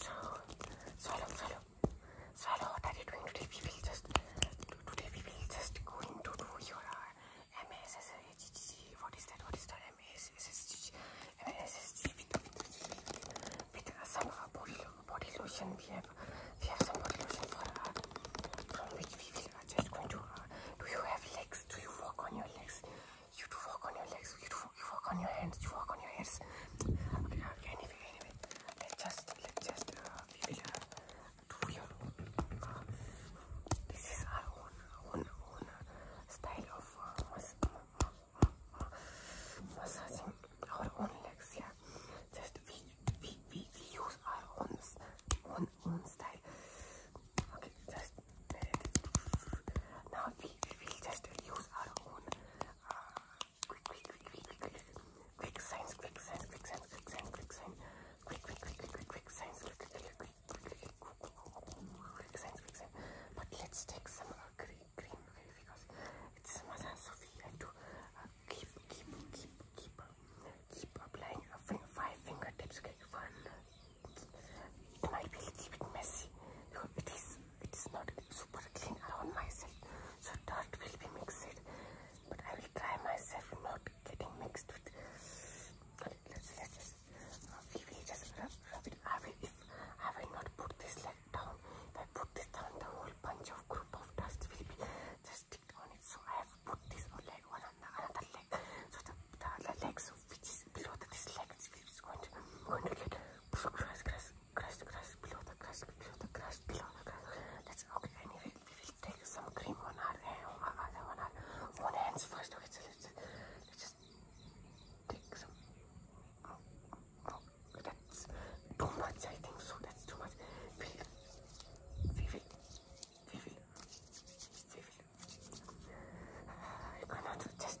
swallow, swallow, swallow. What are you doing today? We will just today we will just going to do your uh, MASSG. What is that? What is the MASSG? MASSG with, with, with uh, some uh, body body lotion. We have we have some body lotion for uh, from which we will uh, just going to. Uh, do you have legs? Do you walk on your legs? You do walk on your legs. You do you work on your hands. You work on your hands. Okay, anyway, anyway, let's just let's just uh, do your this is our own own own style of uh, our own legs. Yeah, just we we we, we use our own own own style. Okay, just uh, now we we just use our own. Uh, Quick, quick, quick, quick, quick, quick. Quick signs, quick signs, quick signs, quick signs, quick signs. Quick, quick, quick, quick, quick, quick signs, quick, quick, quick, quick, quick, quick signs, quick signs. But let's take some uh, green, green, because it's Mother Sophie. I do uh, keep, keep, keep, keep, keep applying finger, five fingertips, okay, one. It might be a little bit messy because it is it is not super clean around myself so dirt will be mixed but I will try myself not getting mixed with let's just we will just rub, rub it I will I will not put this like down if I put this down the whole bunch of group of dust will be just stick on it so I have put this on like one on another leg so the, the other legs which is below this leg is going going to get grass grass crushed, crush, below the crush, below the crush, below the crush. Let's okay. Anyway, we will take some cream on our hand, eh, on our, eh, hands first. Okay, so let's, just take some. Oh, that's too much. I think so. That's too much. We, we will, we will, we will. I cannot just.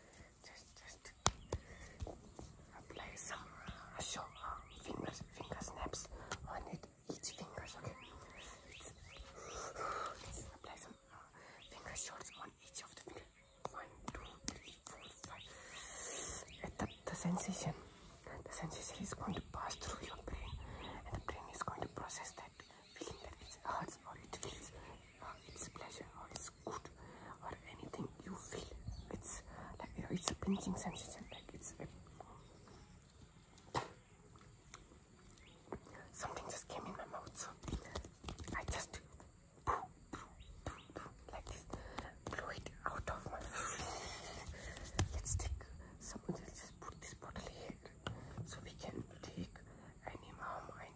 just, just apply some uh, show, Fingers, uh, fingers, snaps on it, each fingers, okay? Let's, let's apply some fingers. Uh, finger shots on each of the finger. One, two, three, four, five. the sensation, the sensation is going to pass through your brain, and the brain is going to process that feeling that it hurts or it feels uh, it's pleasure or uh, it's good or anything you feel it's like it's a pinching sensation like it's uh, something just came in my mouth I just like blew it out of my let's take someone just put this bottle here so we can take any mom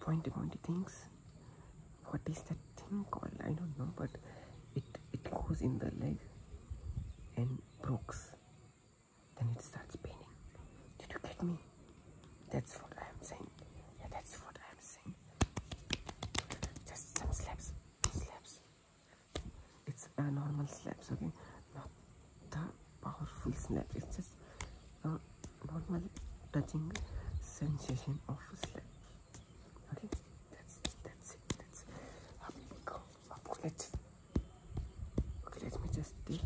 pointy pointy things what is that thing called i don't know but it it goes in the leg and breaks then it starts paining did you get me that's what i am saying yeah that's what i am saying just some slaps slaps it's a normal slaps okay not the powerful slaps it's just uh, normal touching sensation of slap. Okay, that's that's it. That's Up we go. let's. Okay, let me just take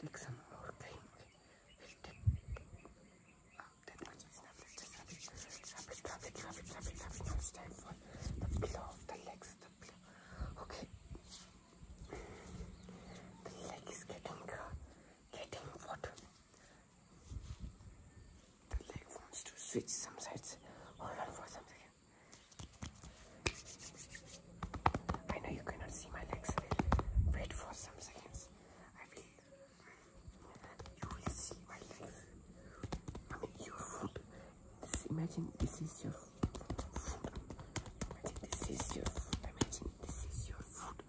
take some more Okay, we'll take. Um, that much Let's just rub it, rub it, rub it, rub it, rub it, rub it. it's time for the pillow of the legs. The pillow. Okay. The leg is getting getting water. The leg wants to switch some sides. Hold on for some second. I know you cannot see my legs. Wait for some seconds. I will. You will see my legs. I mean, your foot. imagine this is your foot. Imagine this is your foot. Imagine this is your foot.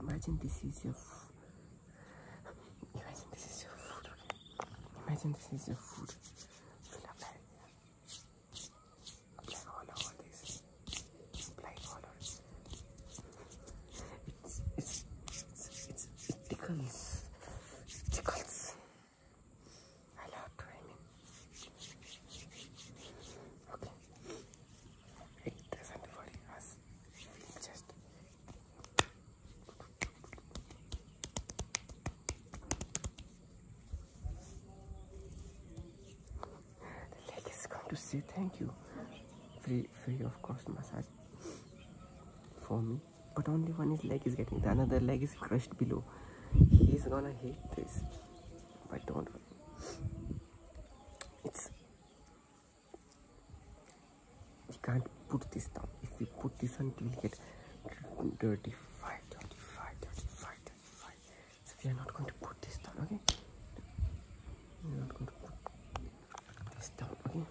Imagine this is your food. Imagine this is your food, Imagine this is your food. It's, it's, it's, it's, it tickles. I love climbing. Okay. It doesn't worry us. Just the leg is going to say thank you. Free free of course massage for me. But only one his leg is getting the another leg is crushed below. He's gonna hate this. But don't worry. It's you can't put this down. If you put this on, you will get dirty five, dirty five, dirty five, dirty five. So we are not going to put this down, okay? We are not going to put this down, okay?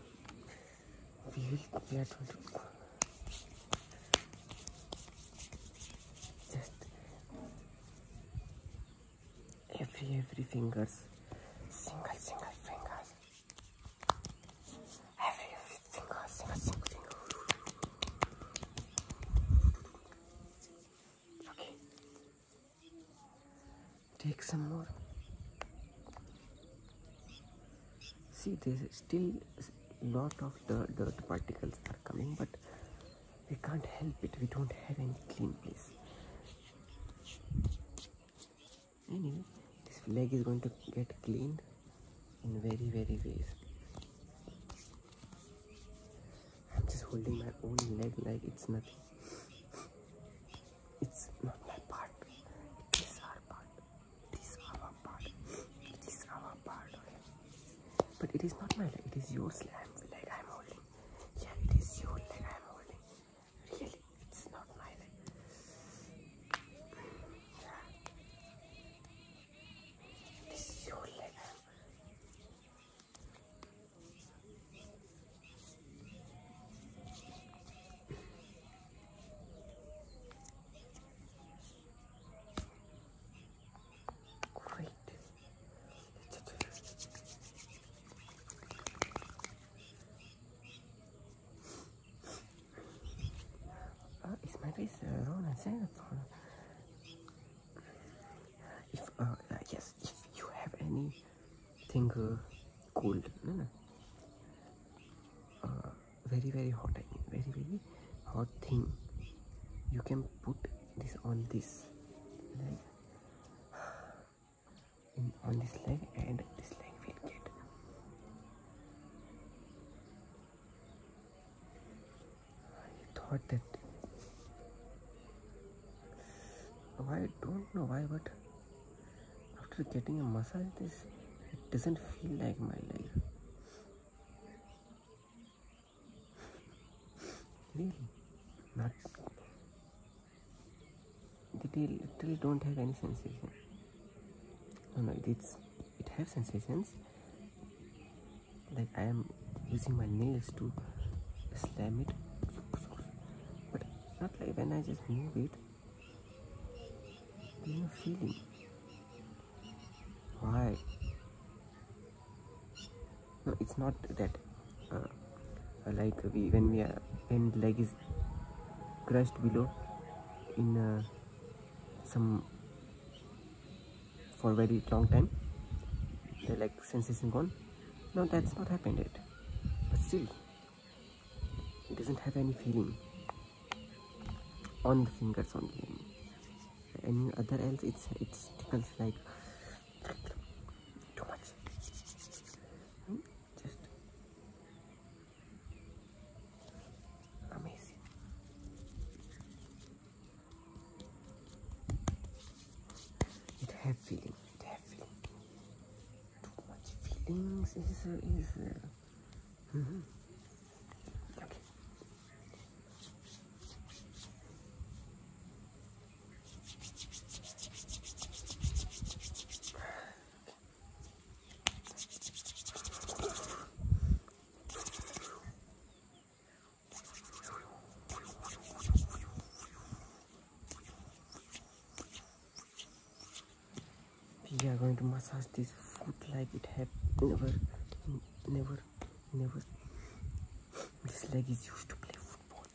We will. We are going to. every every fingers single single fingers every every finger single single finger okay take some more see there's still lot of the dirt particles are coming but we can't help it. We don't have any clean place. Anyway, this leg is going to get cleaned in very, very ways. I'm just holding my own leg like it's nothing. It's not my part. It is our part. It is our part. It is our part. But it is not my leg, it is your leg I'm holding. Yeah, it is your leg I'm holding. Really, it's not my leg. It is your leg Great. Uh, is my face wrong? I said it's wrong. If, uh, uh, yes, if you have any thing cold, no, no. very, very hot thing, you can put this on this leg on this leg and this leg will get I thought that I don't know why but after getting a massage this it doesn't feel like my leg Really? Not. The tail still don't have any sensation. No, no, it's it have sensations. Like I am using my nails to slam it, but not like when I just move it. There's no feeling. Why? no it's not that uh, like we when we are and leg is crushed below in uh, some for very long time the leg sensation gone no that's not happened yet but still it doesn't have any feeling on the fingers only any other else it's it's tickles like too much. Hmm? Just amazing. It has feeling. It has feeling. Too much feelings is is. Uh, mm-hmm. Okay we are going to massage this foot like it have never never never this leg is used to play football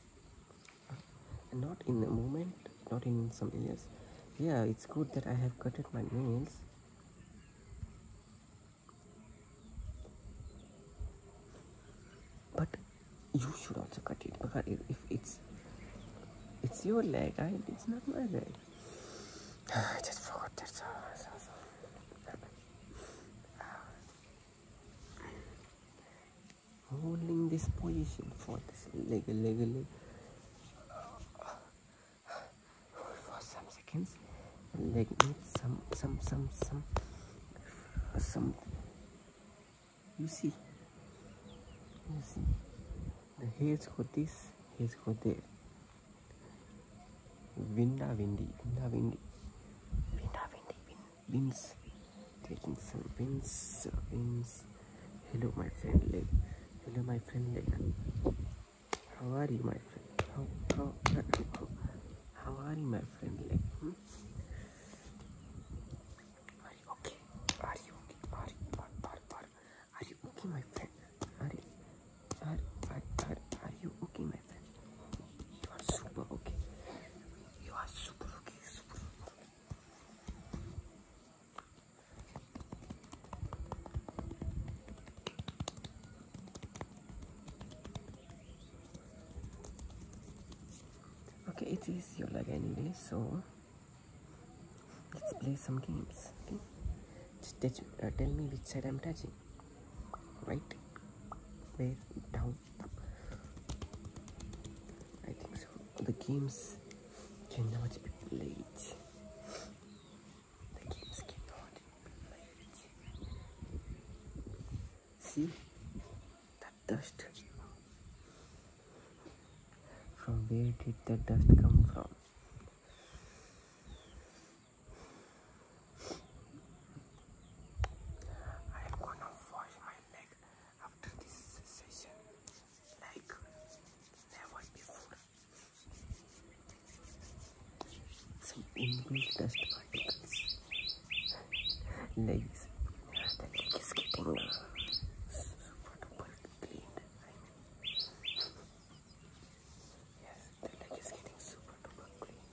not in a moment not in some years. yeah it's good that i have cutted my nails but you should also cut it because if it's it's your leg right it's not my leg i just forgot that so, holding this position for this leg leg leg for some seconds leg needs some some some some some you see you see the heads for this heads for there Winda Windy, Winda Windy, Winda Windy, Win, Wins, taking some wins, wins. Hello, my friend Leg. Hello, my friend Leg. How are you, my friend? How, how, how, how are you, my friend Leg? Hmm? Are you okay? Are you okay? Are you, are, are, are, are you okay, my friend? Are, are, are, are, are you okay, you are super okay. You are super okay. okay. it is your leg anyway, so let's play some games. Okay, just tell uh, me which side I'm touching right where down I think so the games cannot be played the games cannot be played see that dust from where did that dust come from I am gonna wash my leg after this session like never before. Some English dust particles. Legs. The leg is getting super duper cleaned. Yes, the leg is getting super duper clean.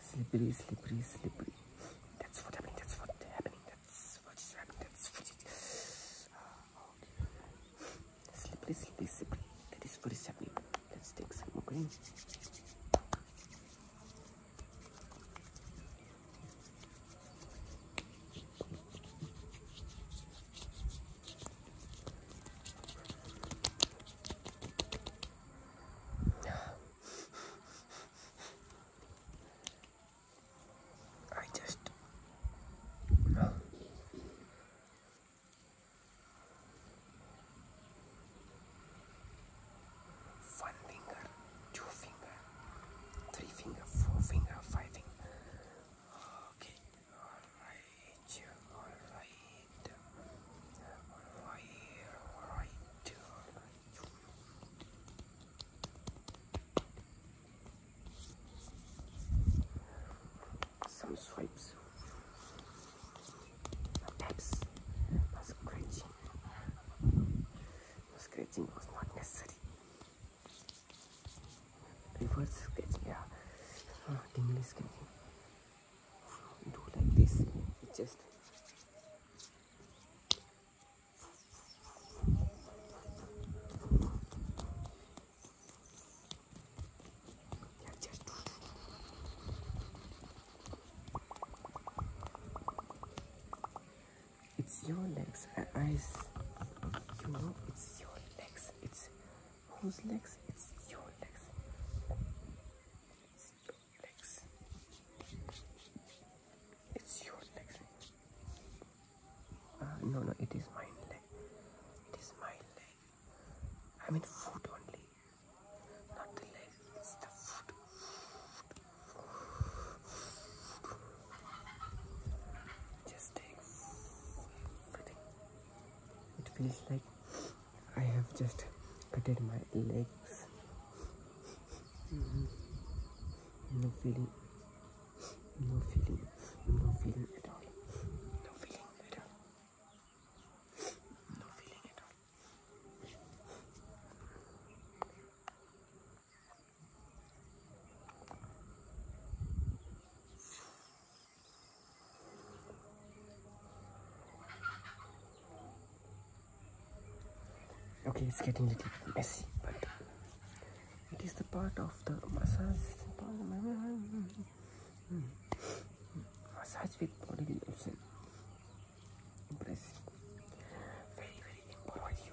Slippery, slippery, slippery. That's what happening, that's what happening, that's what is happening, that's what it is. Ah, slippery, slippery, slippery. That is what is happening. Let's take some more green. I just no two finger, three finger, four finger, five finger. Okay, all right, all right, all right, all right. All right. Some swipes, taps, scratching. Scratching was not necessary reverse sketch yeah uh, oh, tingly sketching do like this it's just it's your legs. I, I you know, it's your legs. It's whose legs? It's your legs. It's your legs. It's your legs. Ah, no, no, it is my leg. It is my leg. I mean foot only. Not the leg. It's the foot. Just take It feels like I have just cutted my legs. Mm -hmm. No feeling. No feeling. No feeling at all. No feeling at all. No feeling at all okay it's getting a little messy but it is the part of the massage massage with body lotion impressive very very important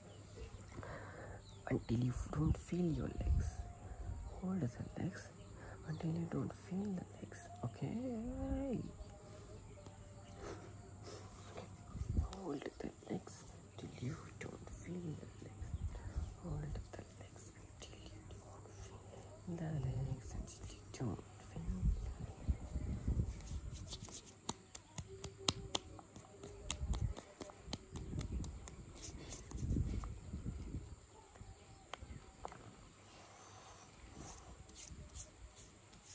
until you don't feel your legs hold the legs until you don't feel the legs okay hold the legs until you don't feel the legs hold the legs until you don't feel the legs until you don't feel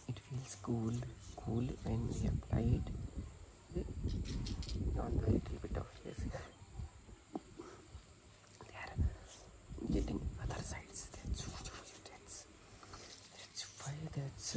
it feels cool, cool when we apply it on a little bit of this. They are getting other sides. That's, that's, that's why, that's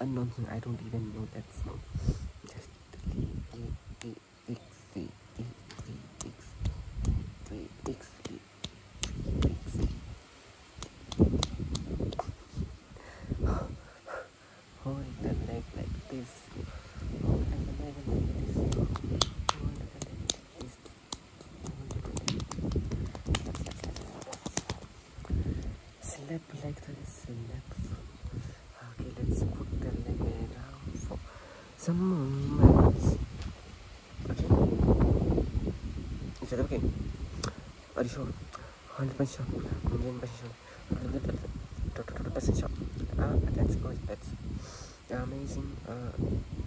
Unknown. nonsense. I don't even know that song. Just Hold the leg like this. like this. Slap like that is slap. Okay, let's put the leg down for some moments. Okay. Is that okay? Are you sure? 100% sure. Million percent sure. Total sure. Ah, that's good. That's amazing. Uh,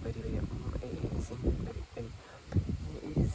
very, very amazing. Very, very amazing.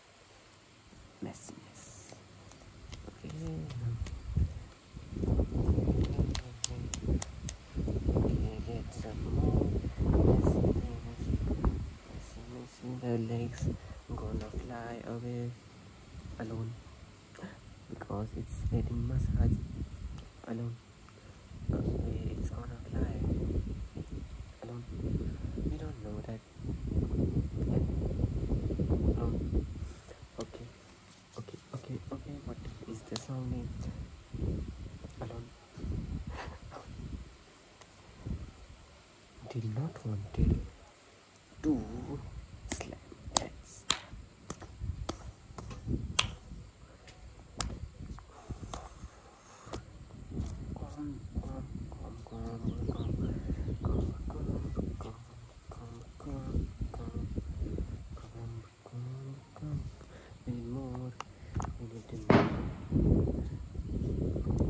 messiness. Okay, get some more messiness. Messiness. The legs gonna fly away alone because it's getting massage alone. Okay, it's gonna fly alone. We don't know that um, okay, okay, okay, okay. What is the song name? Alone. Did not wanted to slam heads.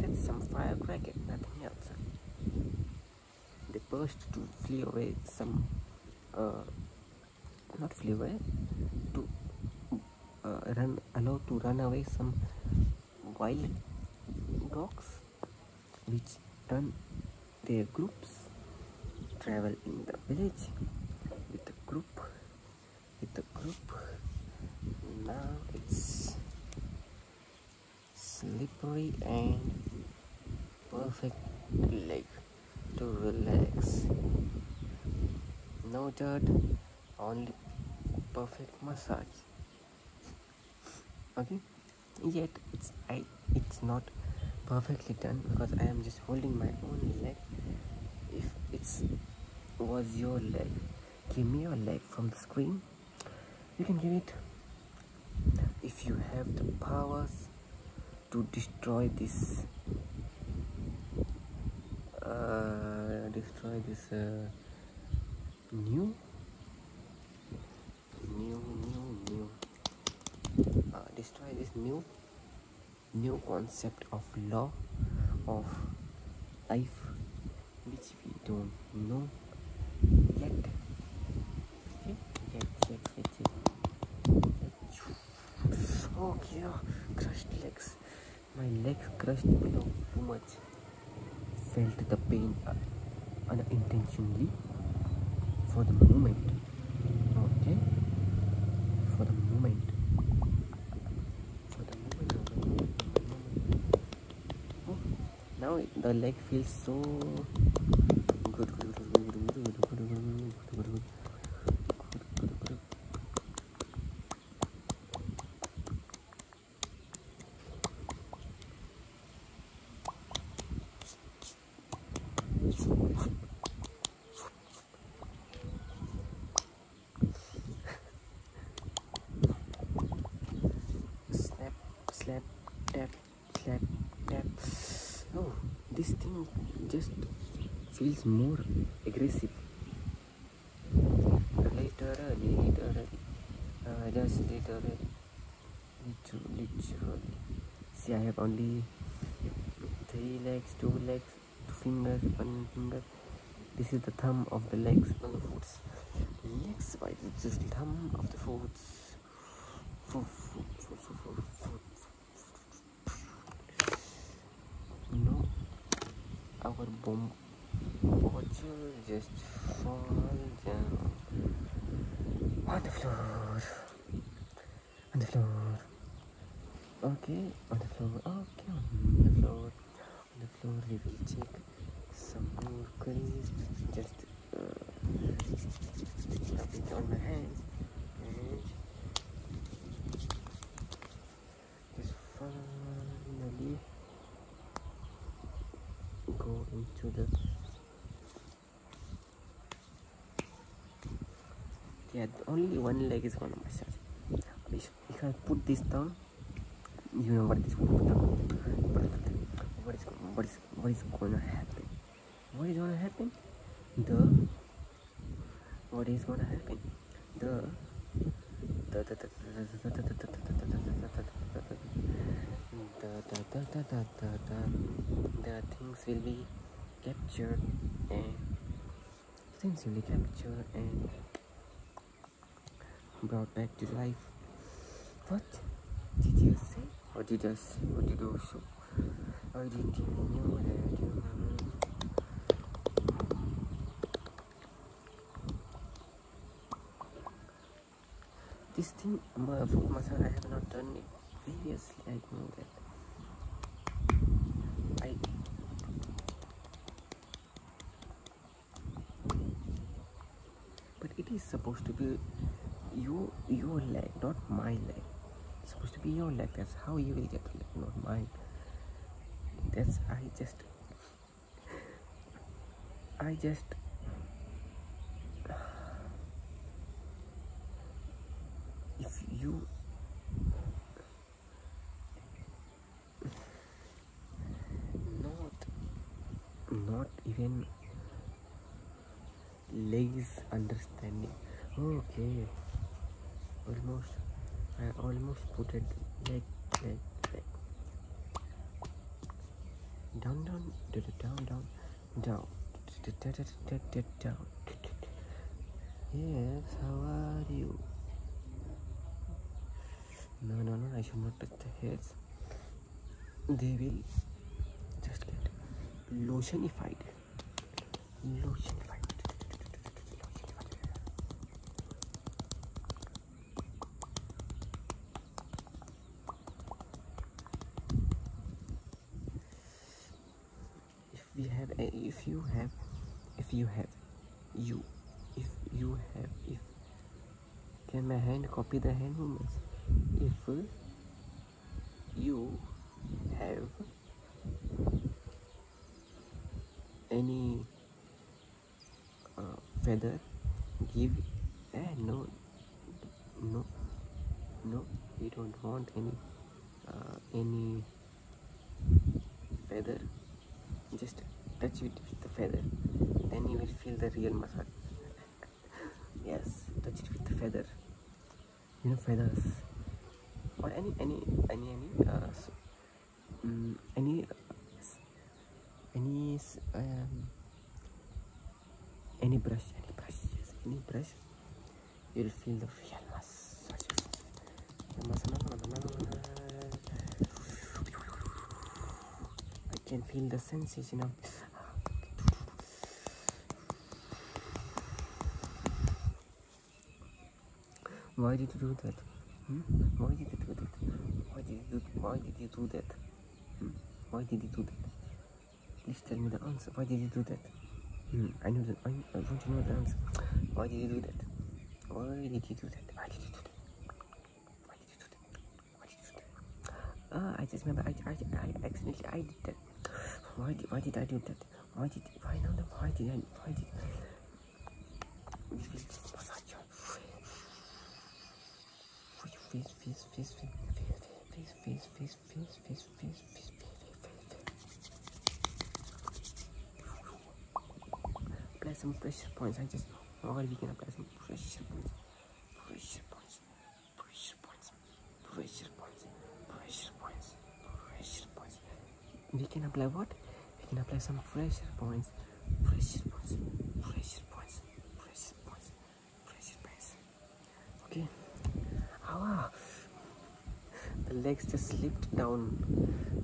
That's some fire cricket, nothing else. They burst to flee away some, uh, not flee away, to uh, run, allow to run away some wild dogs which turn their groups travel in the village with a group with a group now it's slippery and perfect lake to relax no dirt only perfect massage okay yet it's I it's not perfectly done because I am just holding my own leg if it's was your leg give me your leg from the screen you can give it if you have the powers to destroy this uh, destroy this uh, new new new new uh, destroy this new new concept of law of life which we don't know yet okay yet yet yet, yet. okay oh, crushed legs my legs crushed below too much felt the pain unintentionally for the moment okay for the moment for the moment now the leg feels so slap slap tap slap tap oh this thing just feels more aggressive literally literally uh, just literally literally literally see I have only three legs two legs two fingers one finger this is the thumb of the legs no the foots legs by this is the thumb of the foots foot, foot, foot, foot, foot, foot. No, our bomb Would you just fall down on the floor? On the floor. Okay, on the floor. Okay, on the floor. On the floor, we will take some more queries. Just uh, rub it on my hands and just finally. go into the yeah only one leg is gonna massage if, if I put this down you know what is going to what is what is what is gonna happen what is gonna happen the what is gonna happen the the the, the things will be captured and things will be captured and brought back to life. What did you say? What did I say? What did you show? I didn't even know that. This thing, food masala, I have not done it previously. I know that. but it is supposed to be your your leg, not my leg. It's supposed to be your leg. That's how you will get the leg, not mine. That's I just I just if you not not even lays understanding okay almost I almost put it like like like down down down down down down yes how are you no no no i should not touch the heads they will just get lotionified lotionified if we have if you have if you have you if you have if can my hand copy the hand movements if you have any uh, feather give eh no no no we don't want any uh, any feather just touch it with the feather then you will feel the real massage yes touch it with the feather you know feathers or any any any any uh, mm, any any um, any brush any brush yes, any brush you'll feel the real mass. I can feel the sensation of hmm? Why did you do that? Why did you do that? Why did you why did you do that? Hmm. Why did he do that? Please tell me the answer. Why did he do that? Hmm. I know that. I, I want to know the answer. Why did he do that? Why did he do that? Why did he do that? Why did he do that? Why did he do that? Ah, I just remember. I, I, I accidentally I did that. Why did, why did I do that? Why did why not? Why did I? Why did? face, face, face, face, face, face, face, face, face, face, face, Apply some pressure points. I just or we can apply some pressure points. Pressure points. Pressure points. Pressure points. Pressure points. Pressure points. We can apply what? We can apply some pressure points. Pressure points. Pressure points. Pressure points press, press it, press. Okay. Ah, the legs just slipped down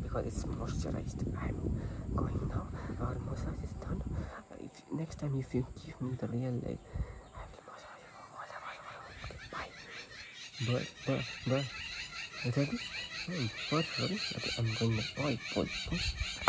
because it's moisturized. I'm going now. Our massage is done. If, next time, if you give me the real leg, I will massage you all the way. Bye. But, but, but, ready? Hmm, what, oh, what? Okay, I'm going to. Bye, bye, bye.